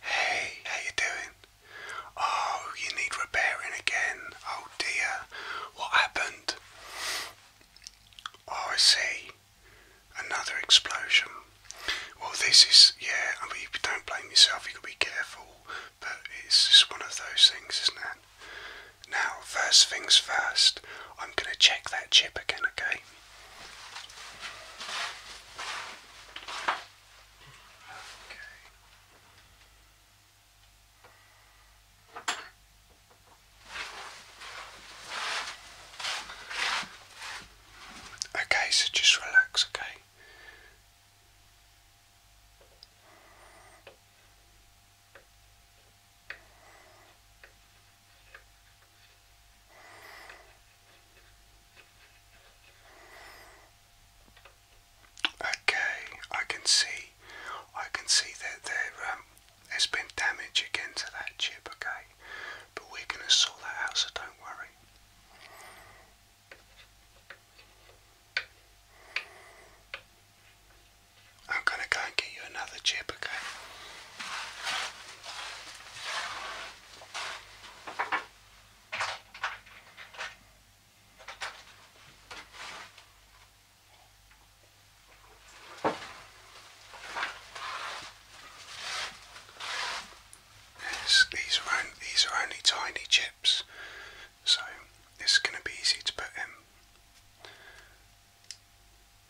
Hey, how you doing? Oh, you need repairing again. Oh dear, what happened? Oh, I see. Another explosion. Well, this is, yeah, I mean, don't blame yourself, you've got to be careful, but it's just one of those things, isn't it? Now, first things first, I'm going to check that chip again, okay? Okay. Okay, so just relax, okay? Okay, I can see, I can see that um, there, has been damage again to that chip. Okay, but we're gonna sort that out, so don't worry. I'm gonna go and get you another chip. Okay these are only, these are only tiny chips, so it's going to be easy to put in.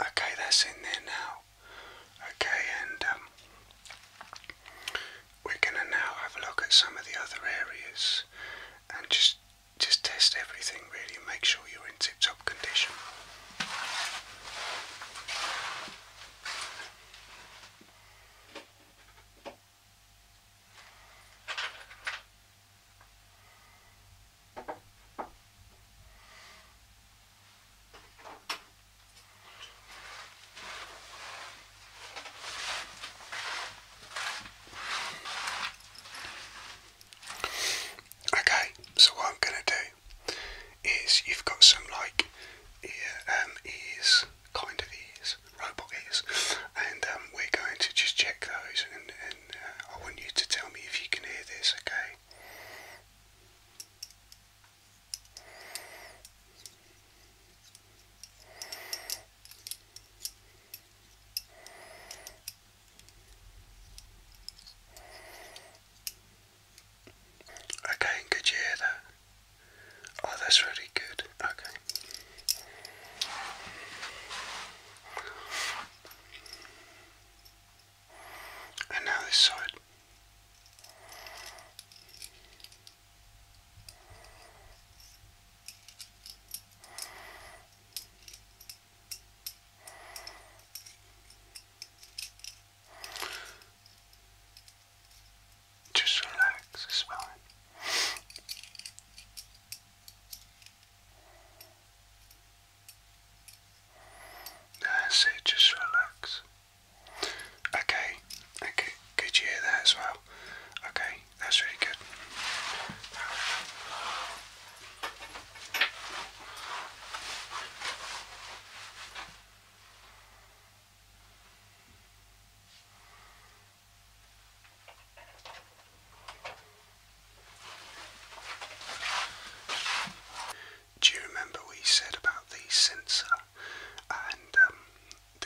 Okay, that's in there now. Okay, and um, we're going to now have a look at some of the other areas and just just test everything really and make sure you're in tip-top condition. Okay, so what I'm going to do is you've got some like ear, um, ears, kind of ears, robot ears, and um, we're going to just check those and, uh, I want you to tell me if you can hear this, okay? Okay, could you Oh, that's really good. Okay. And now this side. Just relax, it's that's it, just relax. Okay, okay, could you hear that as well? Okay, that's really good do you remember we said about the sensor? And um,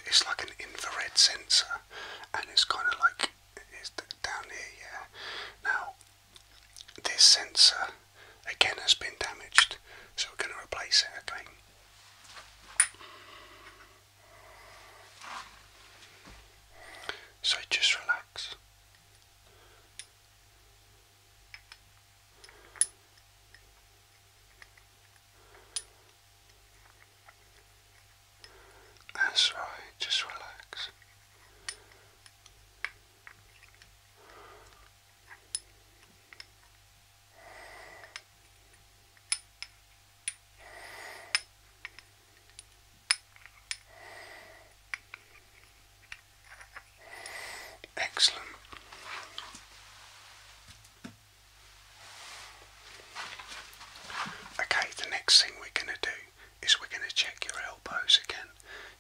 it's like an infrared sensor, and it's kind of like it's down here, yeah. Now, this sensor again has been damaged, so we're going to replace it again. So just relax. That's right, just relax. Excellent. Okay, the next thing we're going to do is we're going to check your elbows again.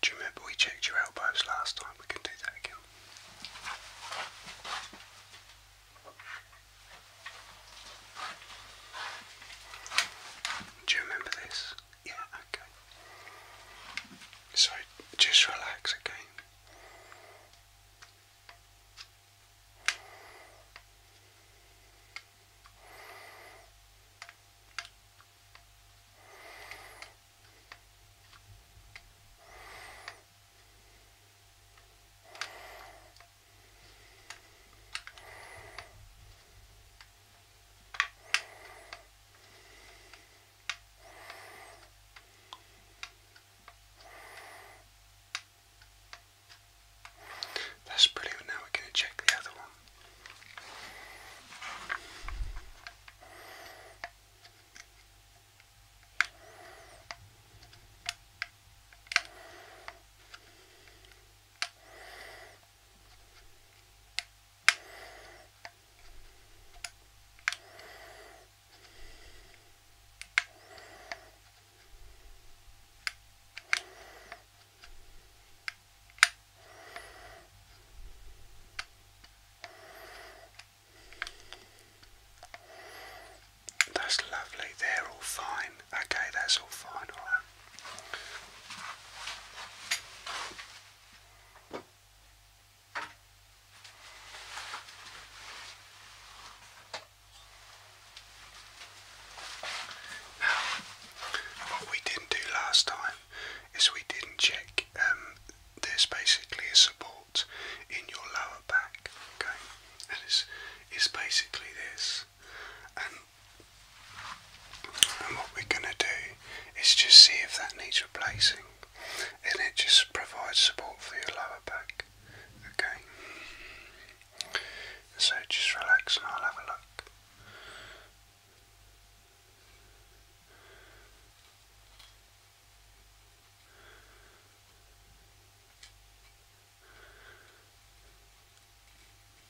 Do you remember we checked your elbows last time? We can do that again. Do you remember this? Yeah, okay. So just relax again. That's brilliant. Now we're going to check the other one. That's lovely, they're all fine. Okay, that's all fine, alright. Now, what we didn't do last time is we didn't check. Um, there's basically a support in your lower back, okay, and it's it's basically this, and what we're going to do is just see if that needs replacing. And it just provides support for your lower back. Okay? So just relax and I'll have a look.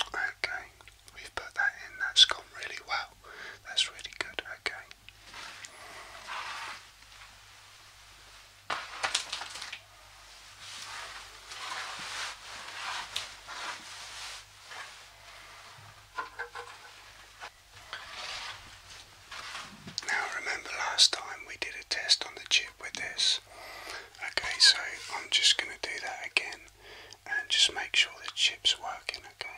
Okay, we've put that in, that's gone really well. That's really good, okay. Now remember last time we did a test on the chip with this Okay, so I'm just going to do that again and just make sure the chip's working, okay?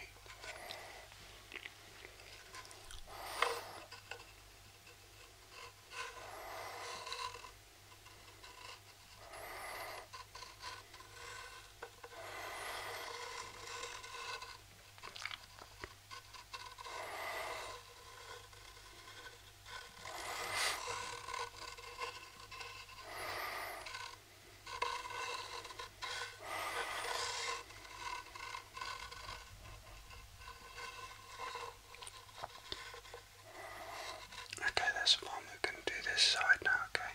Okay, that's fine. We're going to do this side now, okay?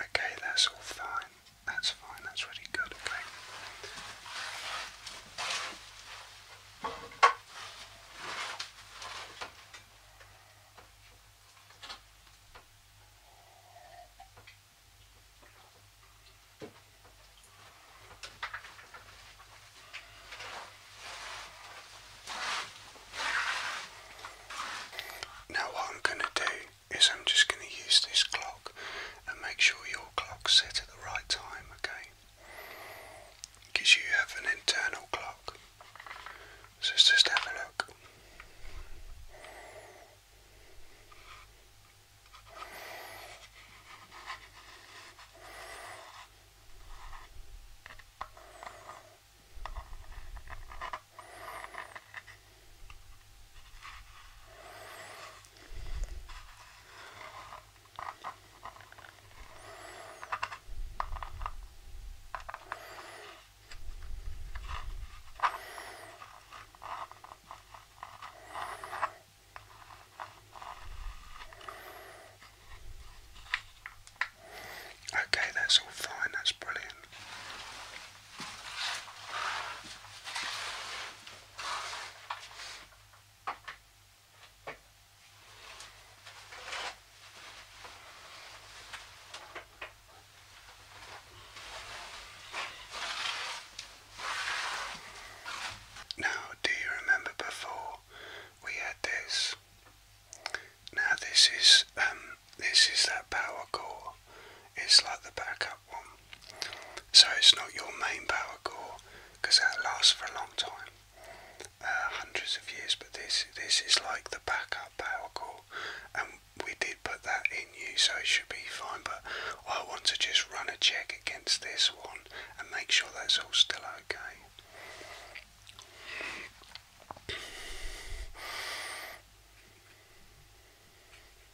Okay, that's all fine. That's fine, that's really good, okay? Now, what I'm going to do is I'm just going to use this clock and make sure your clock's set at the right time, okay? Because you have an internal clock. So just have a look. Okay, that's all fine, that's brilliant. Now, do you remember before we had this? Now this is um this is that power core. It's like the backup so it's not your main power core because that lasts for a long time, uh, hundreds of years. But this this is like the backup power core, and we did put that in you, so it should be fine. But I want to just run a check against this one and make sure that's all still okay.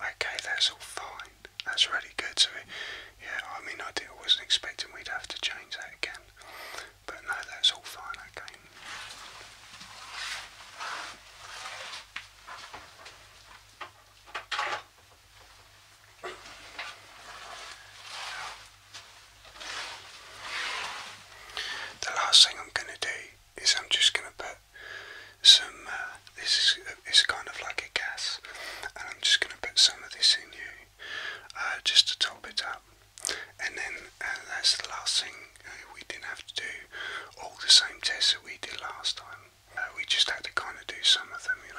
Okay, that's all fine. That's really good. So yeah, I mean, I, did, I wasn't expecting we'd have to change that again, but no, that's all fine, okay. The last thing I'm going to do is I'm just going to put some, uh, this is it's kind of like a gas, and I'm just going to put some of this in here. Uh, just to top it up. And then uh, that's the last thing uh, we didn't have to do all the same tests that we did last time. we just had to kind of do some of them, you know.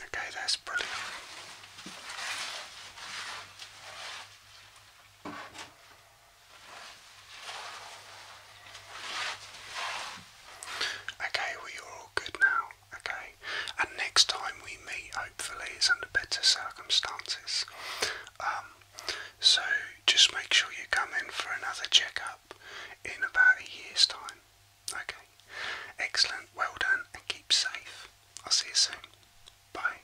Okay, that's brilliant. Okay, well, are all good now. Okay, and next time we meet, hopefully, is under better circumstances. Um, so just make sure you come in for another checkup in about a year's time. Okay, excellent. Well done, and keep safe. I'll see you soon. Bye.